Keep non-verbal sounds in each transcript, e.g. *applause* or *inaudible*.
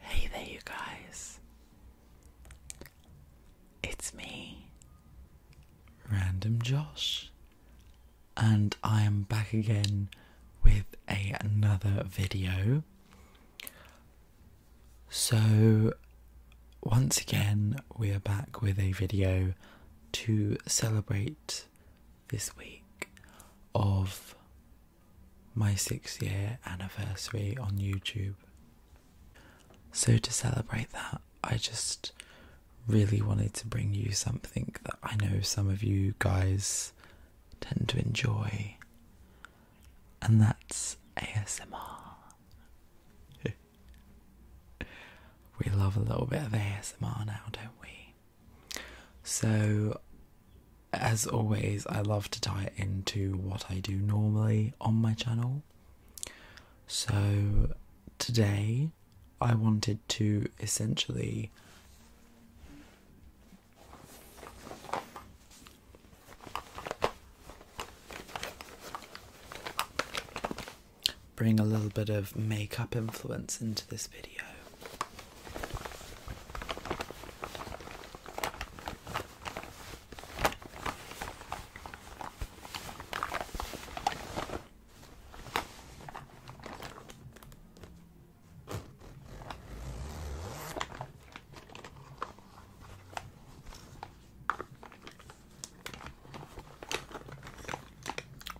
Hey there, you guys. It's me, Random Josh, and I am back again with a, another video. So, once again, we are back with a video to celebrate this week of my six year anniversary on YouTube. So, to celebrate that, I just really wanted to bring you something that I know some of you guys tend to enjoy and that's ASMR. *laughs* we love a little bit of ASMR now, don't we? So, as always, I love to tie it into what I do normally on my channel. So, today I wanted to essentially Bring a little bit of makeup influence into this video.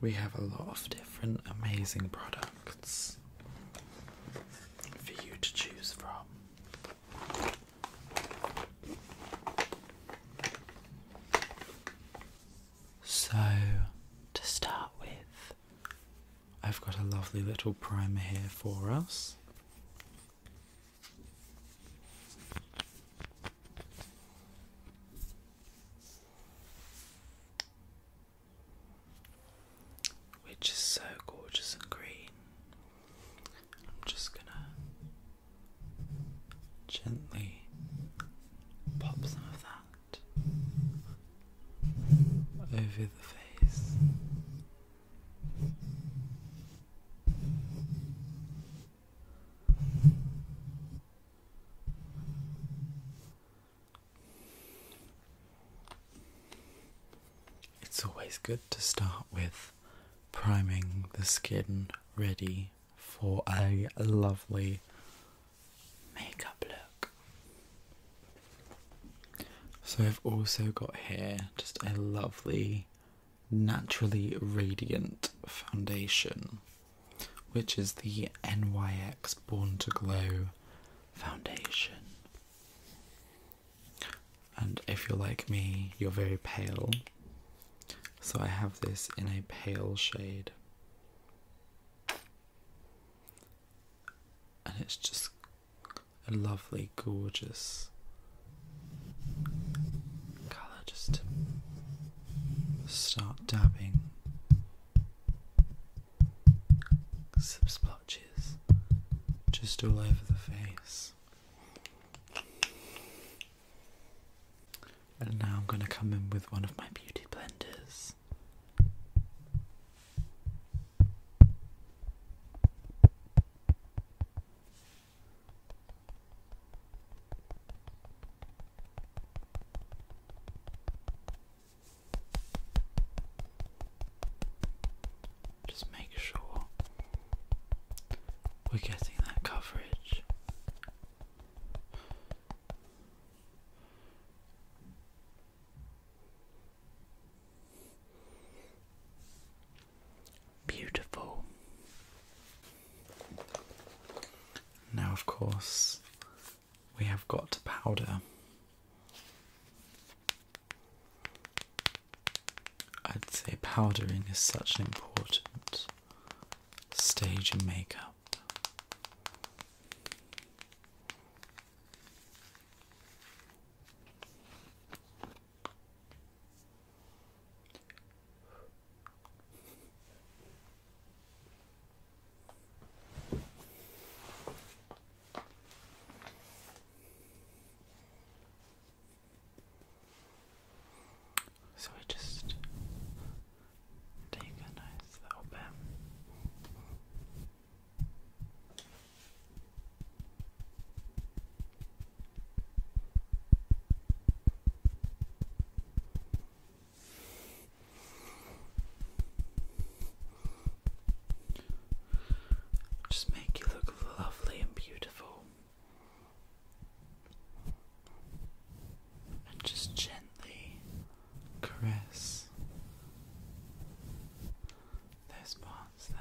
We have a lot of different amazing products for you to choose from. So, to start with, I've got a lovely little primer here for us. Which is so gorgeous and green. I'm just gonna gently pop some of that over the face. It's always good to start with priming the skin ready for a lovely makeup look. So I've also got here just a lovely naturally radiant foundation which is the NYX Born to Glow foundation. And if you're like me, you're very pale. So I have this in a pale shade. And it's just a lovely, gorgeous color. Just start dabbing some splotches just all over the face. And now I'm going to come in with one of my beauty blenders just make sure we're getting that coverage. Beautiful. Now, of course, we have got to powder. I'd say powdering is such an important stage in makeup. So we just take a nice little bit. Just make you look lovely and beautiful. And just gently caress those parts there.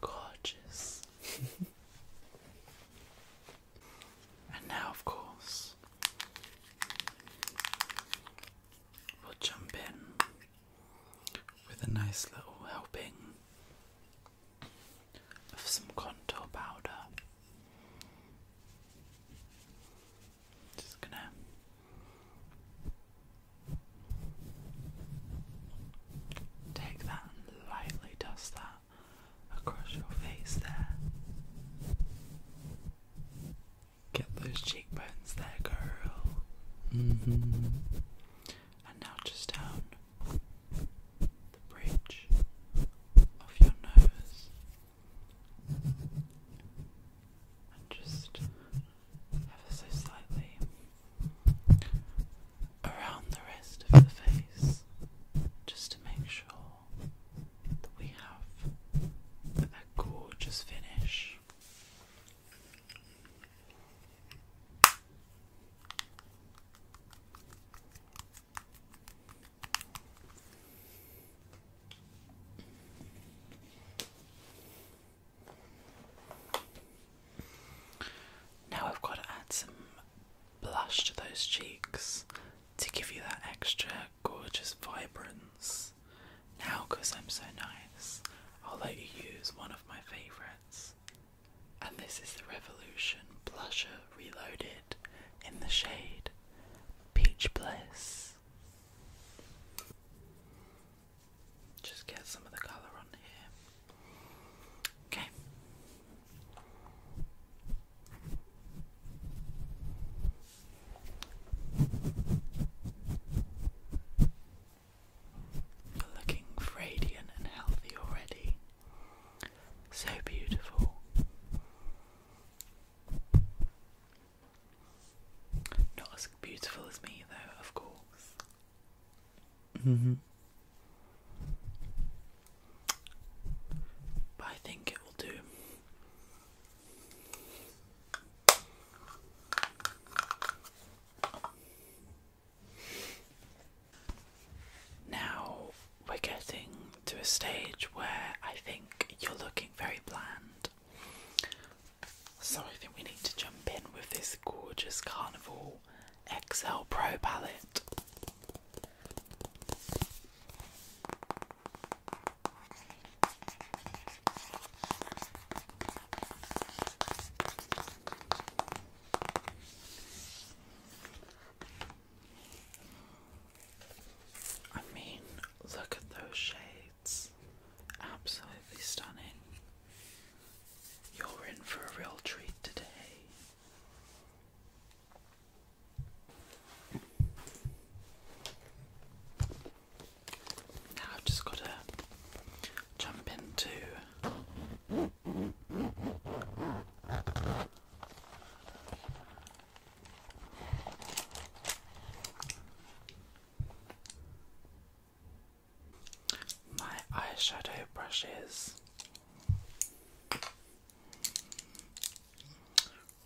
Gorgeous. *laughs* and now, of course, we'll jump in with a nice little helping of some contour powder. Just gonna take that and lightly dust that across your face there. Get those cheekbones there, girl. Mm-hmm. And now just down the bridge of your nose and just ever so slightly around the rest of the face just to make sure that we have a gorgeous finish. Now I've got to add some blush to those cheeks to give you that extra gorgeous vibrance. Now, because I'm so nice, I'll let you use one of my favourites. And this is the Revolution Blusher Reloaded in the shade Peach Bliss. Just get some of the colour on here. Okay. You're looking radiant and healthy already. So beautiful. Not as beautiful as me, though, of course. Mm-hmm. But I think it will do. Now we're getting to a stage where I think you're looking very bland. So I think we need to jump in with this gorgeous Carnival XL Pro palette. I mean, look at those shades. Absolutely stunning. You're in for a real treat today. Now I've just got to jump into my eyeshadow brushes.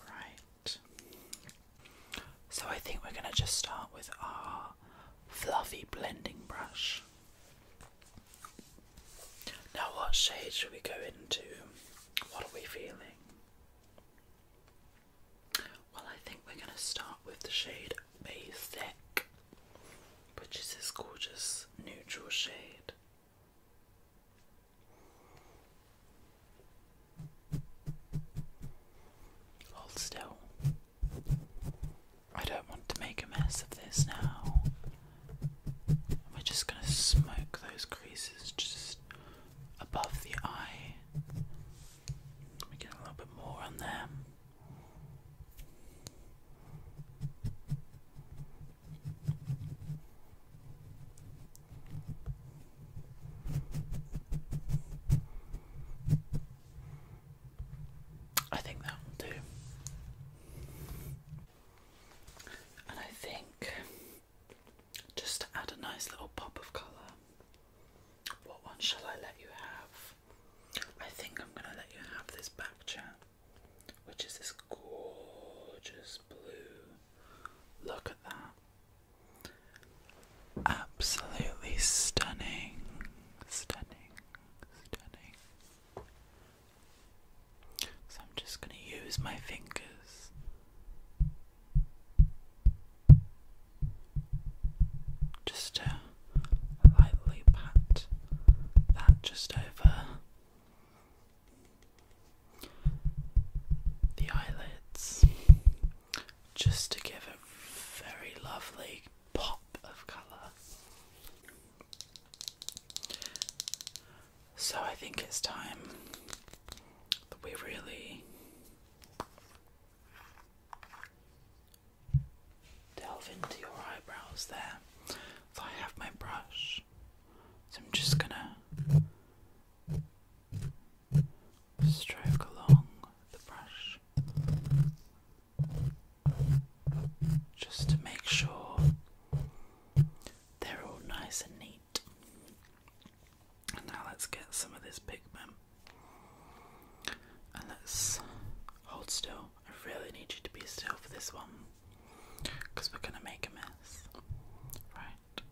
Right. So I think we're going to just start with our fluffy blending brush. Now, what shade should we go into? What are we feeling? Well, I think we're going to start with the shade Basic, which is this gorgeous neutral shade. Hold still. I don't want to make a mess of this now. We're just going to smoke those creases just above the eye. We get a little bit more on there. I think that will do. And I think just to add a nice little pop of colour, what one shall I let you have? I think I'm going to let you have this back chat, which is this gorgeous blue. Look at that. Absolutely stunning, stunning, stunning. So I'm just going to use my fingers just to lightly pat that just over the eyelids just to give a very lovely pop of colour. So I think it's time that we really delve into your eyebrows there. I have my brush. So I'm just gonna stroke along the brush just to make sure they're all nice and neat. And Now let's get some of this pigment. And let's hold still. I really need you to be still for this one. Because we're going to make a mess. Right.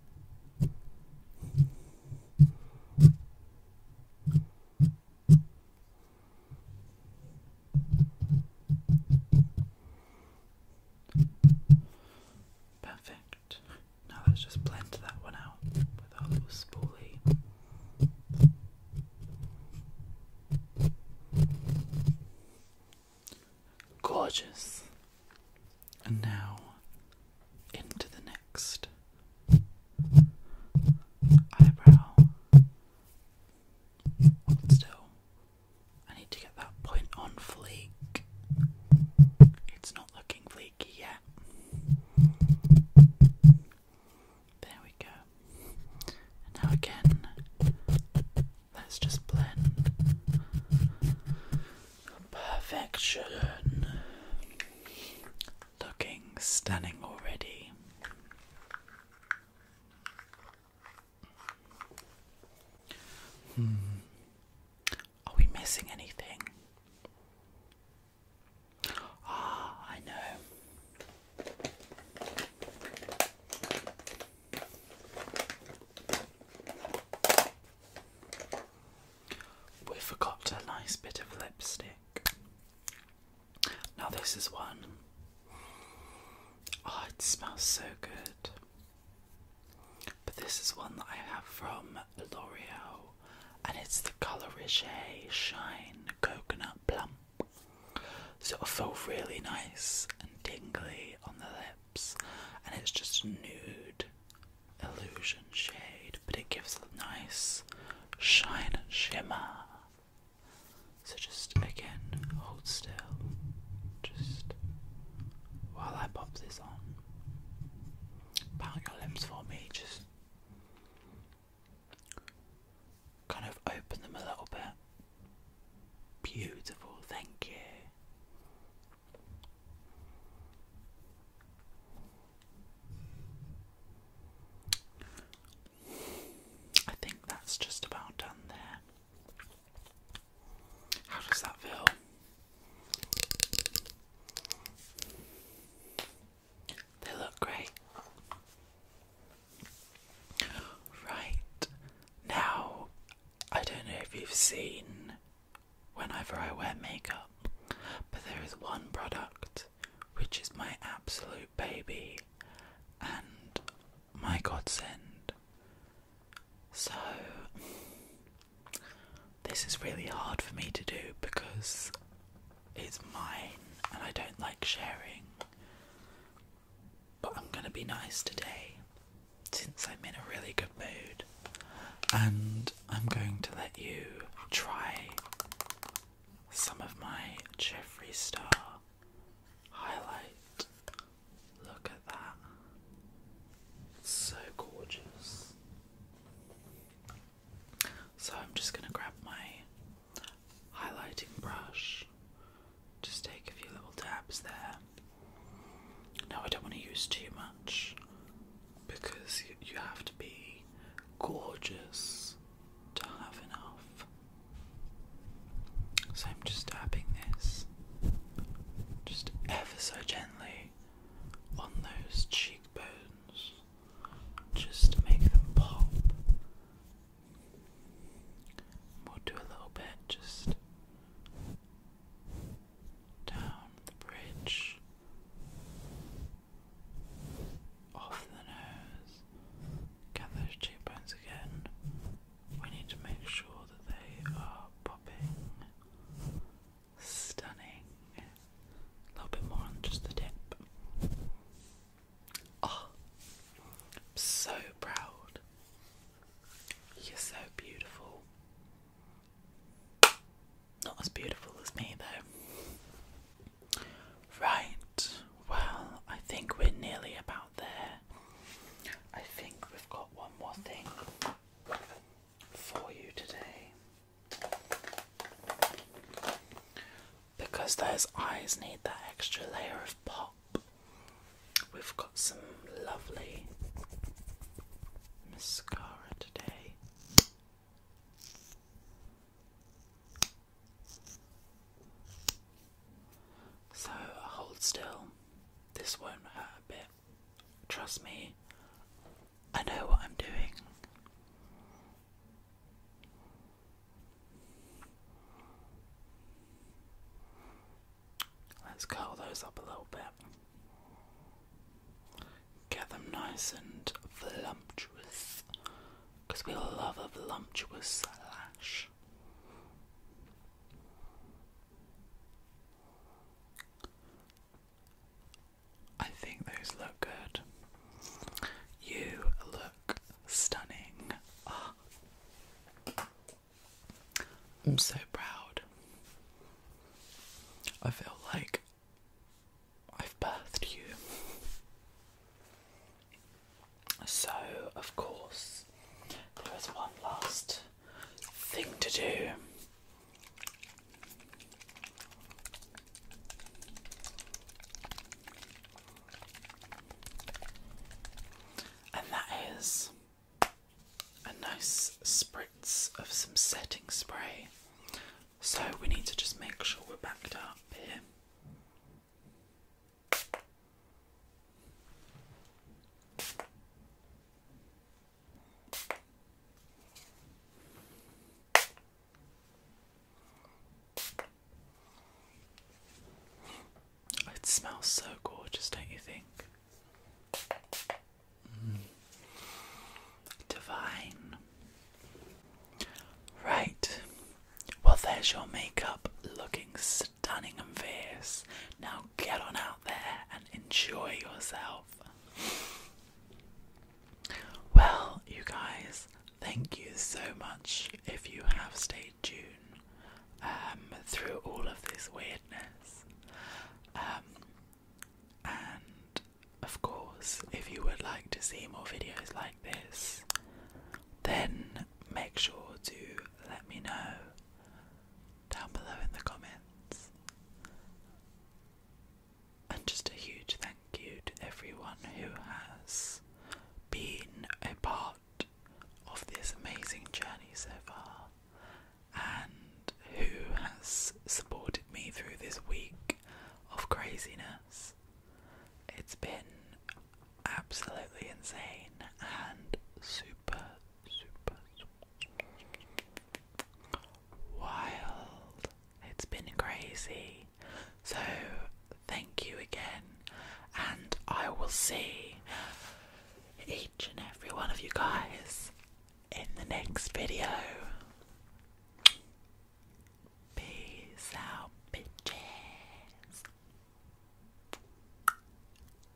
Perfect. Now let's just blend that one out with our little spoolie. Gorgeous. And now into the next eyebrow. Hold still. I need to get that point on flake. It's not looking flaky yet. There we go. now again, let's just blend. Perfection. Looking stunning already. Hmm. Are we missing anything? Ah, I know. We forgot a nice bit of lipstick. Now, this is one. Oh, it smells so good. But this is one that I have from L'Oreal, and it's the Color Riche Shine Coconut Plum. So it'll really nice and tingly on the lips, and it's just a nude illusion shade, but it gives a nice shine and shimmer. So just again, hold still. Just while I pop this on, pound your lips for me. Just kind of open them a little bit. Beautiful, thank you. I think that's just about done there. How does that feel? They look great. Right now, I don't know if you've seen whenever I wear makeup, but there is one product which is my absolute baby, and my godsend. So, this is really hard for me to do because it's mine and I don't like sharing. But I'm gonna be nice today since I'm in a really good mood and I'm going to let you try some of my Jeffree Star highlight Look at that. so gorgeous. So I'm just going to grab my highlighting brush. Just take a few little dabs there. Now I don't want to use too much because you have to be gorgeous to have enough. So I'm just dabbing this. Just ever so gently on those cheekbones, just to make them pop. We'll do a little bit just down the bridge, off the nose, get those cheekbones again we need to make sure that they are popping, stunning. A little bit more on just the tip. Oh, I'm so proud. You're so beautiful. Not as beautiful as me, though. Right, well, I think we're nearly about there. I think we've got one more thing for you today. Because those eyes need that extra layer of pop, we've got some lovely mascara today. So hold still, this won't hurt a bit. Trust me, I know what I'm doing. Let's curl those up a little bit. Get them nice and voluptuous. Because we love a voluptuous lash. I think those look good. You look stunning. Ah. I'm so proud. I feel like I've birthed you. So, of course, there is one last thing to do. And that is a nice spritz of some setting spray. So we need to just make sure we're backed up here. It smells so gorgeous, don't you think? Mm. Divine. Right. Well, there's your makeup looking stunning and fierce. Now get on out there and enjoy yourself. Well, you guys, thank you so much if you have stayed tuned um, through all of this weirdness. Um, and of course, if you would like to see more videos like this, then make sure to let me know down below in the comments. And just a huge thank you to everyone who has been a part of this amazing journey so far and who has supported me through this week of craziness. It's been absolutely insane and super, super wild. It's been crazy. So, thank you again, and I will see each and every one of you guys in the next video. Peace out, bitches.